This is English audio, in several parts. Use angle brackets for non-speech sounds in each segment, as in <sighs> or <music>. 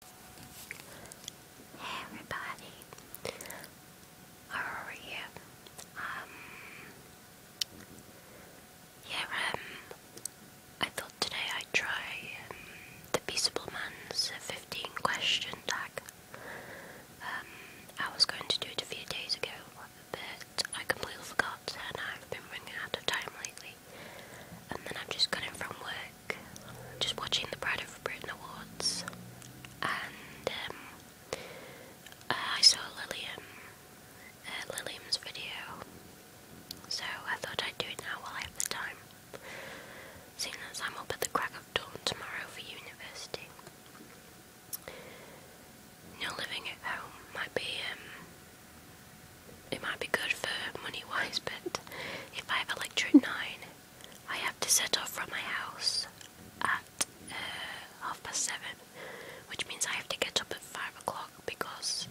Hey everybody, how are you? Um, yeah, um, I thought today I'd try um, the Peaceable Man's 15 question tag. I was going to do it a few days ago, but I completely forgot and I've been running out of time lately and then I've just got from work, just watching the Pride of Britain Awards, and um, uh, I saw Lilium, uh, Lilium's video, so I thought I'd do it now while I have the time, seeing as I'm up at the crack of dawn tomorrow for university. You living at home might be um, it might be good for money wise, but if I have a lecture at nine, I have to set off from my house at uh, half past seven, which means I have to get up at five o'clock because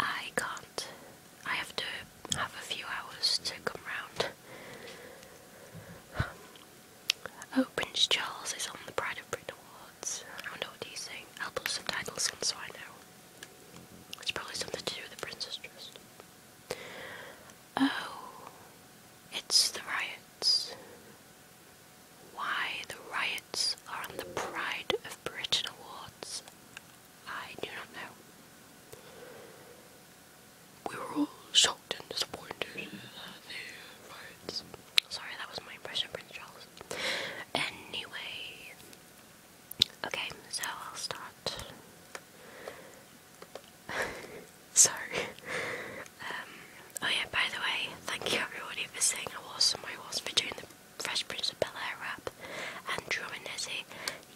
I can't. I have to have a few hours to come round. <sighs> Oh, Prince Charles is on the Pride of Britain Awards. I don't know what he's saying. I'll put subtitles on so I know. It's probably something to do with the Princess Trust. Oh, it's the riots. Why the riots are on the Pride of Britain Awards, I do not know. We were all shocked and disappointed at the riots. Sorry, that was my impression of Prince Charles. Anyway, Okay, so I'll start. <laughs> Sorry. Um, oh yeah, by the way, thank you everybody for saying I was and I was for doing the Fresh Prince of Bel-Air rap and Drum and Nizzy.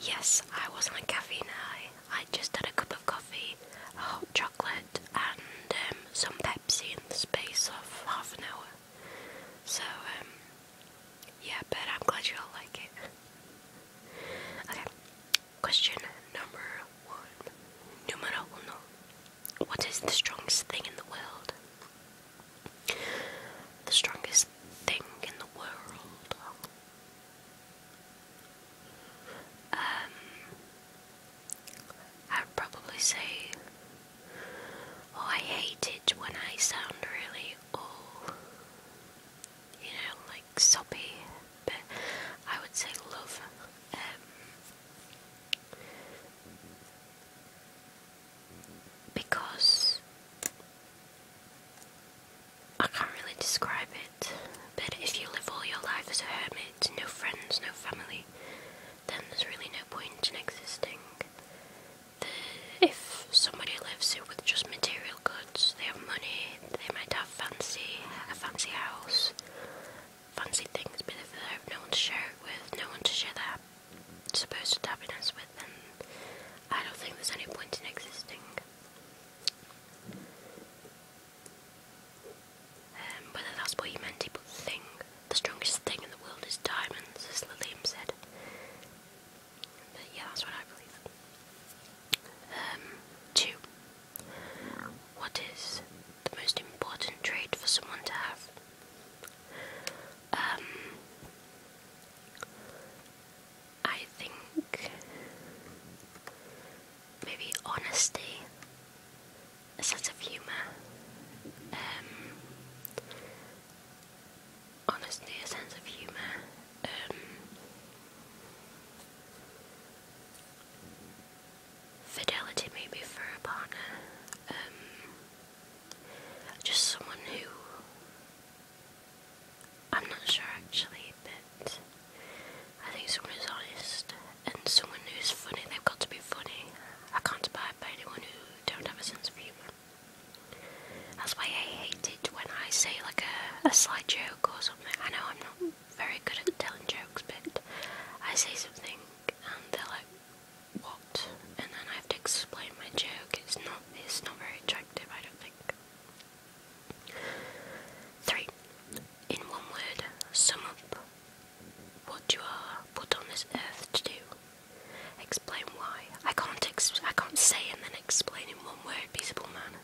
Yes, I was like caffeine high. I just had a cup of coffee, a hot chocolate and um, some Pepsi in the space of half an hour. So, um, yeah, but I'm glad you all like it. okay, question number one. Numero What is the strongest thing in the world? The strongest thing in the world. Um, I'd probably say, oh, I hate it when I sound really all, you know, like soppy, but I would say love. Um, because I can't really describe it, but if you live all your life as a hermit, no friends, no family, then there's really no point in existing if somebody lives here with just material goods, they have money, they might have fancy a fancy house, fancy things, but if they have no one to share it with, no one to share their supposed happiness with, then I don't think there's any point in existing. Um, that's what you meant, people think the strongest thing in the world is diamonds, as Lilium said. I um, two. What is the most important trait for someone to have? Um, I think maybe honesty, a sense of humour, um, honestly a sense of humour. Um, fidelity maybe for a partner. Um, just someone who I'm not sure actually, but I think someone who's honest and someone who's funny. They've got to be funny. I can't abide by anyone who don't have a sense of humour. That's why I hate it when I say like a, a slight joke or something. I know I'm not very good at telling jokes, but I say something and they're like, "What?" And then I have to explain my joke. It's not it's not very attractive, I don't think. Three, in one word, sum up what you are put on this earth to do. Explain why. I can't ex I can't say and then explain in one word peaceable manner.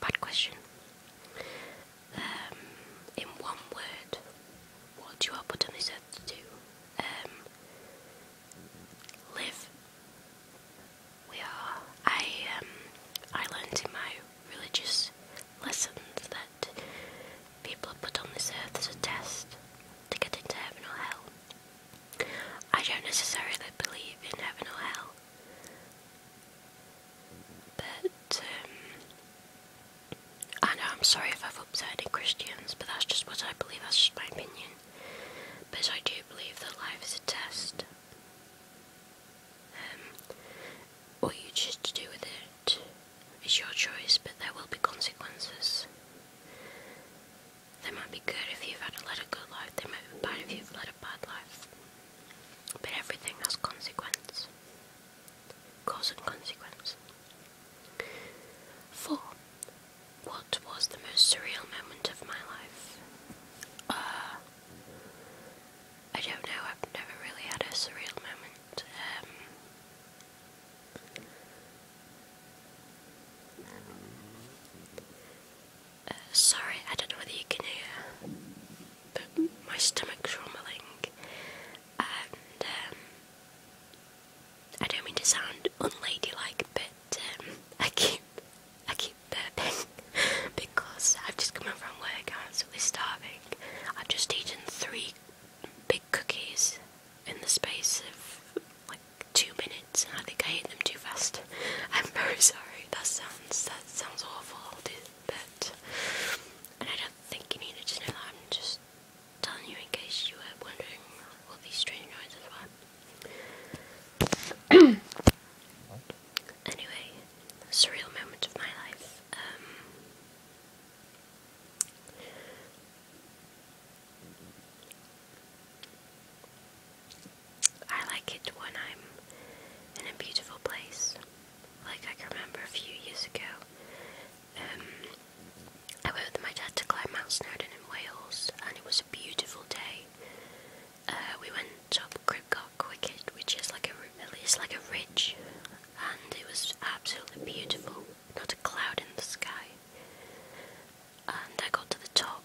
Bad question. Um, in one word, what do are put on this earth to do? Um, live. We are. I um, I learned in my religious lessons that people are put on this earth as a test to get into heaven or hell. I don't necessarily believe in heaven or hell, but um, I know I'm sorry if I've upset any Christians, but that's just what I believe. That's just my opinion. But I do believe that life is a test. Um, what you choose to do with it is your choice, but there will be consequences. They might be good if you've had a lot of good life, They might be bad if you've led a bad life. But everything has consequence. Cause and consequence. Four. What was the most surreal moment of my life? Uh, I don't know, I've never really had a surreal moment. Um, uh, sorry, I don't know whether you can hear, but my stomach's rumbling, and um, I don't mean to sound unladylike, but um, I keep I keep burping <laughs> because I've just come home from work. I'm absolutely starving. I've just eaten three big cookies in the space of like two minutes I think I ate them too fast. I'm very sorry. That sounds that sounds awful, but and I don't think you needed to know that. I'm just telling you in case you were wondering what these strange noises were. <clears throat> anyway, surreal moment of my life. Um, I like it when I'm in a beautiful place. Like I can remember a few years ago, um, I went with my dad to climb Mount Snowdon in Wales, and it was a beautiful day. Uh, we went up Cribcock Wicket, which is like a it's like a ridge, and it was absolutely beautiful not a cloud in the sky. And I got to the top,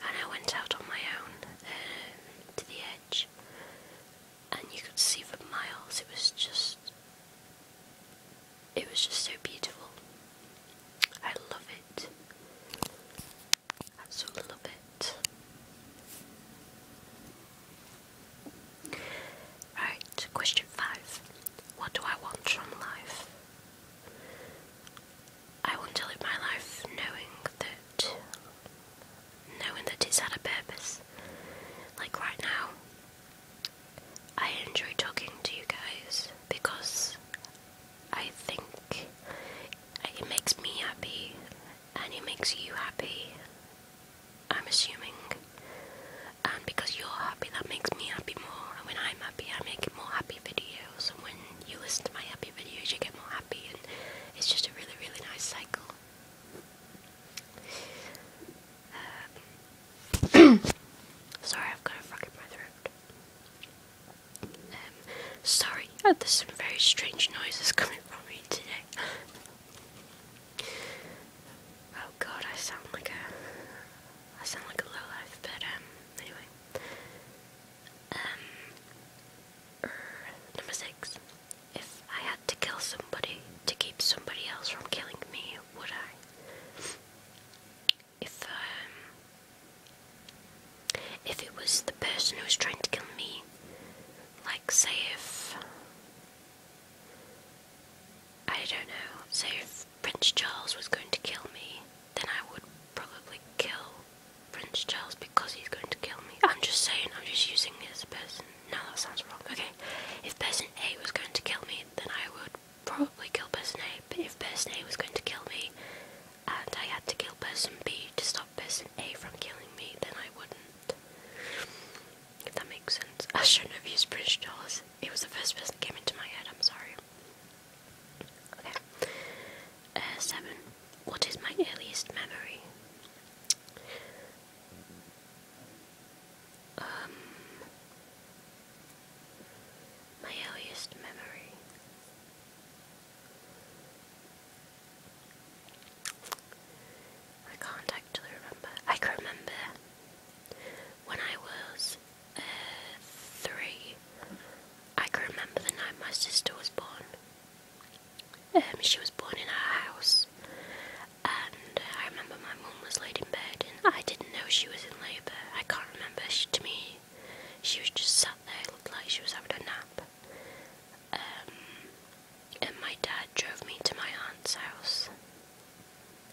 and I went out on my own um, to the edge, and you could see for miles. It was just, it was just so beautiful. I love it. Absolutely love it. Right, question five. What do I want from life? I want to live my life knowing that knowing that it's had a purpose. Like right now, I enjoy talking to you guys because I think it makes me happy and it makes you happy. I'm assuming and um, because you're happy that makes me happy more and when I'm happy I make more happy videos and when you listen to my happy videos you get more happy and it's just a really really nice cycle um, <coughs> sorry I've got a frog throat um, sorry there's some very strange noises <laughs> coming from me today Oh god, I sound like a I sound like a lowlife, but um, anyway. Um, er, number six. If I had to kill somebody to keep somebody else from killing me, would I? If um, if it was the person who was trying to kill me, like say if I don't know, say if Prince Charles was going to kill me, then I would probably kill Prince Charles because he's going to kill me. I'm just saying, I'm just using this person. No, that sounds wrong. Okay, if person A was going to kill me, then I would probably kill person A. But if person A was going to kill me, and I had to kill person B to stop person A from killing me, then I wouldn't. If that makes sense. <laughs> I shouldn't have used Prince Charles. It was the first person that came into my head, I'm sorry. Okay. Uh, seven. What is my earliest memory? Um, my earliest memory. I can't actually remember. I can remember when I was three. I can remember the night my sister was born. Um, she was born in our house, and I remember my mum was laid in bed, and I didn't know she was in labour. I can't remember. to me, she was just sat there, looked like she was having a nap. Um, and my dad drove me to my aunt's house,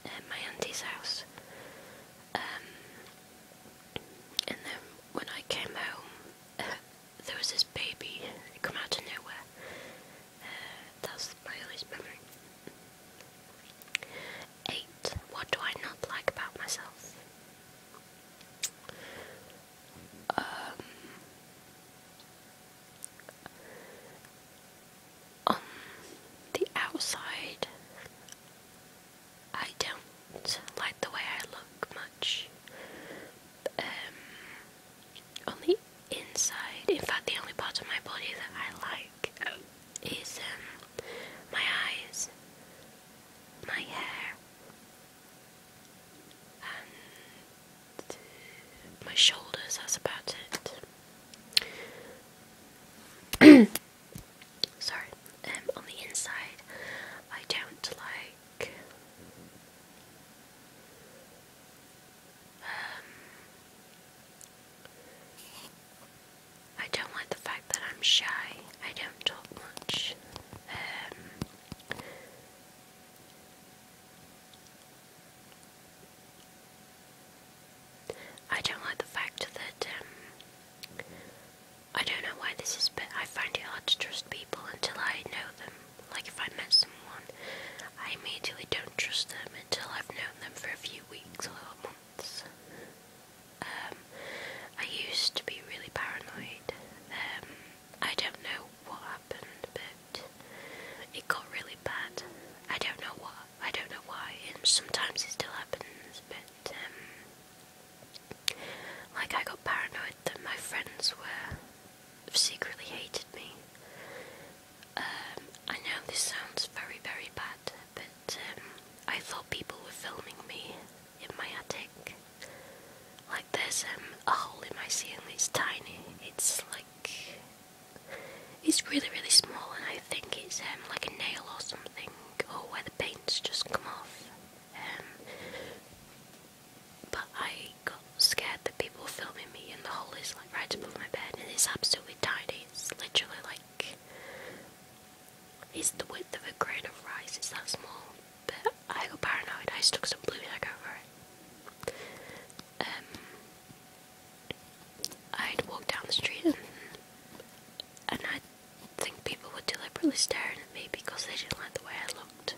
at my auntie's house. Um, and then when I came home, uh, there was this baby came out of nowhere. Uh, that's my earliest memory. Eight. What do I not like about myself? Um, on um, the outside, I don't like the way I look much. Um, on the inside, in fact, the only part of my body that I like is um, my eyes, my hair, and my shoulders. That's about it. <clears throat> sorry, um, on the inside, I don't like um I don't like the fact that I'm shy. I don't talk much. Um I don't like the fact that um, I don't know why this is, but I find it hard to trust people until I know them. Like if I met someone, I immediately don't trust them until I've known them for a few weeks or months. Um, I used to be really paranoid. Um, I don't know what happened, but it got really bad. I don't know what I don't know why, and sometimes it still happens, but um, like I got paranoid that my friends were secretly hated me. Um, I know this sounds very, very bad, but um, I thought people were filming me in my attic. Like there's a hole in my ceiling, it's tiny, it's like it's really, really small, and I think it's um, like a nail or something, or where the paint's just come off. Um, but I got scared that people were filming me, and the hole is like right above my bed, and it's absolutely tiny. It's literally like it's the width of a grain of rice. It's that small. But I got paranoid. I stuck some blue tack over it. Um, I'd walk down the street and, and I think people were deliberately staring at me because they didn't like the way I looked.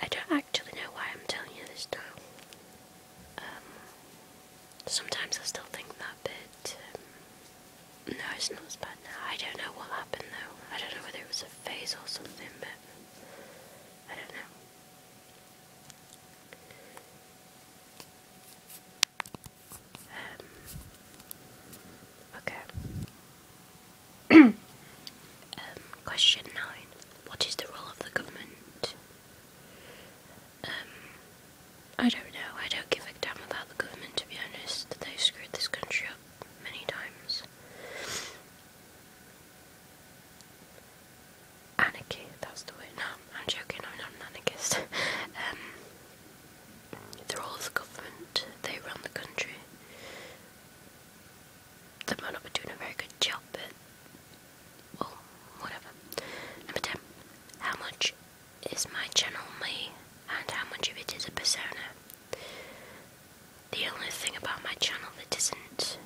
I don't actually know why I'm telling you this now. Um, sometimes I still think that, bit. Um, no, it's not as bad now. I don't know what happened though. I don't know whether it was a phase or something, but I don't know. Um, okay. <clears throat> Um, question 9. What is the role of the government? Um, I don't know. I don't give a damn about the government, to be honest. They've screwed this country up many times anarchy, that's the word. I'm joking, I'm not an anarchist. <laughs> um, the role of the government, they run the country. They might not be doing a very good job, but well, whatever. Number 10. How much is my channel me, and how much of it is a persona? The only thing about my channel that isn't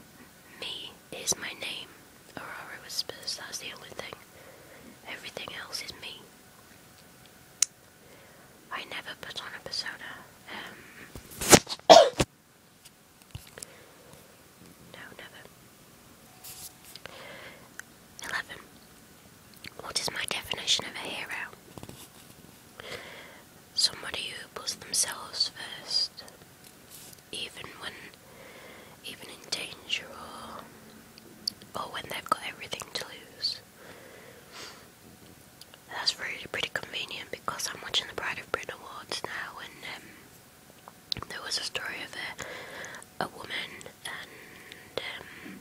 me is my name, Aurora whispers. That's the only thing. Everything else is me. I never put on a persona. Um, <coughs> no, never. 11. What is my definition of a hero? Somebody who puts themselves first even when even in danger or or when they've got everything to lose. That's really pretty convenient because I'm watching the Pride of Britain Awards now and um, there was a story of a, a woman and um,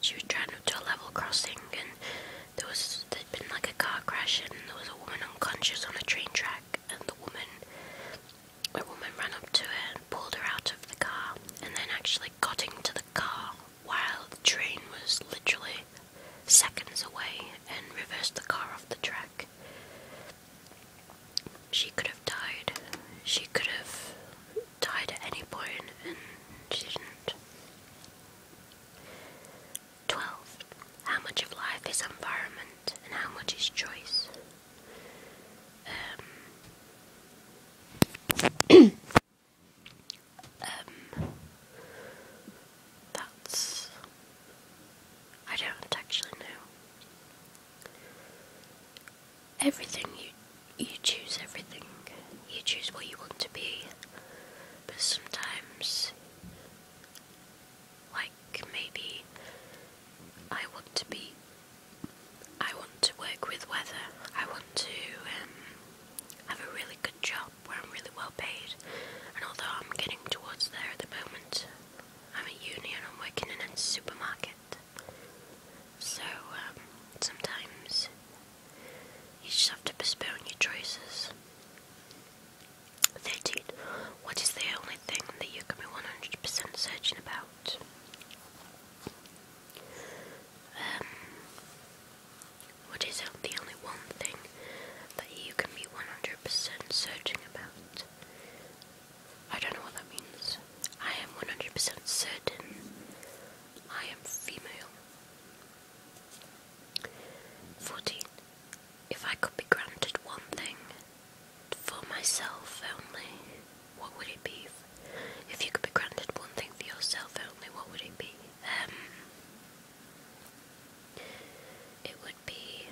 she was driving to a level crossing and there was there'd been like a car crash and there was a woman unconscious on a train track and the woman a woman ran up to her and pulled her out of the car and then actually got into the car while the train was literally seconds away and reversed the car off the track. She could have died. She could have died at any point and she didn't. 12. How much of life is environment? and how much is choice. Um, <coughs> um, that's. I don't actually know. Everything you you choose everything. You choose what you want to be, but sometimes like maybe I want to be, I want to work with weather. I want to um, have a really good job where I'm really well paid. And although I'm getting towards there at the moment, I'm at uni and I'm working in a supermarket. So um, sometimes you just have to postpone your choices. 13. What is the only thing that you can be 100% certain about? Um, what is the only one thing that you can be 100% certain about? I don't know what that means. I am 100% certain I am female. 14. If I could be granted one thing, for myself only, what would it be? If you could be granted one thing for yourself only, what would it be? Um, it would be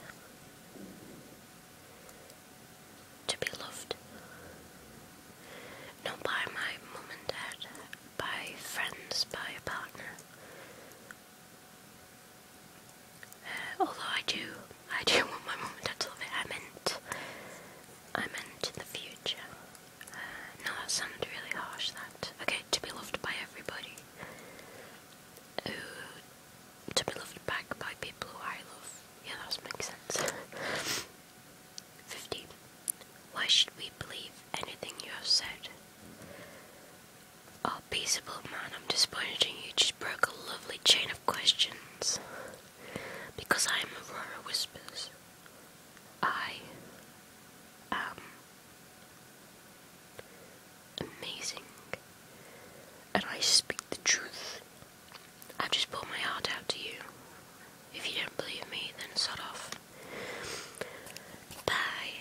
to be loved. Not by my mom and dad, by friends, by a partner, although I do, I do <laughs> want my mom and dad to love me. I meant, I meant in the future. Uh, now that sounds really harsh. That okay to be loved by everybody. Who, to be loved back by people who I love. Yeah, that makes sense. <laughs> 15. Why should we believe anything you have said? Oh, peaceable man, I'm disappointed in you. Just broke a lovely chain of questions. Because I am Aurora Whispers. I am amazing. And I speak the truth. I've just poured my heart out to you. If you don't believe me, then shut off. Bye.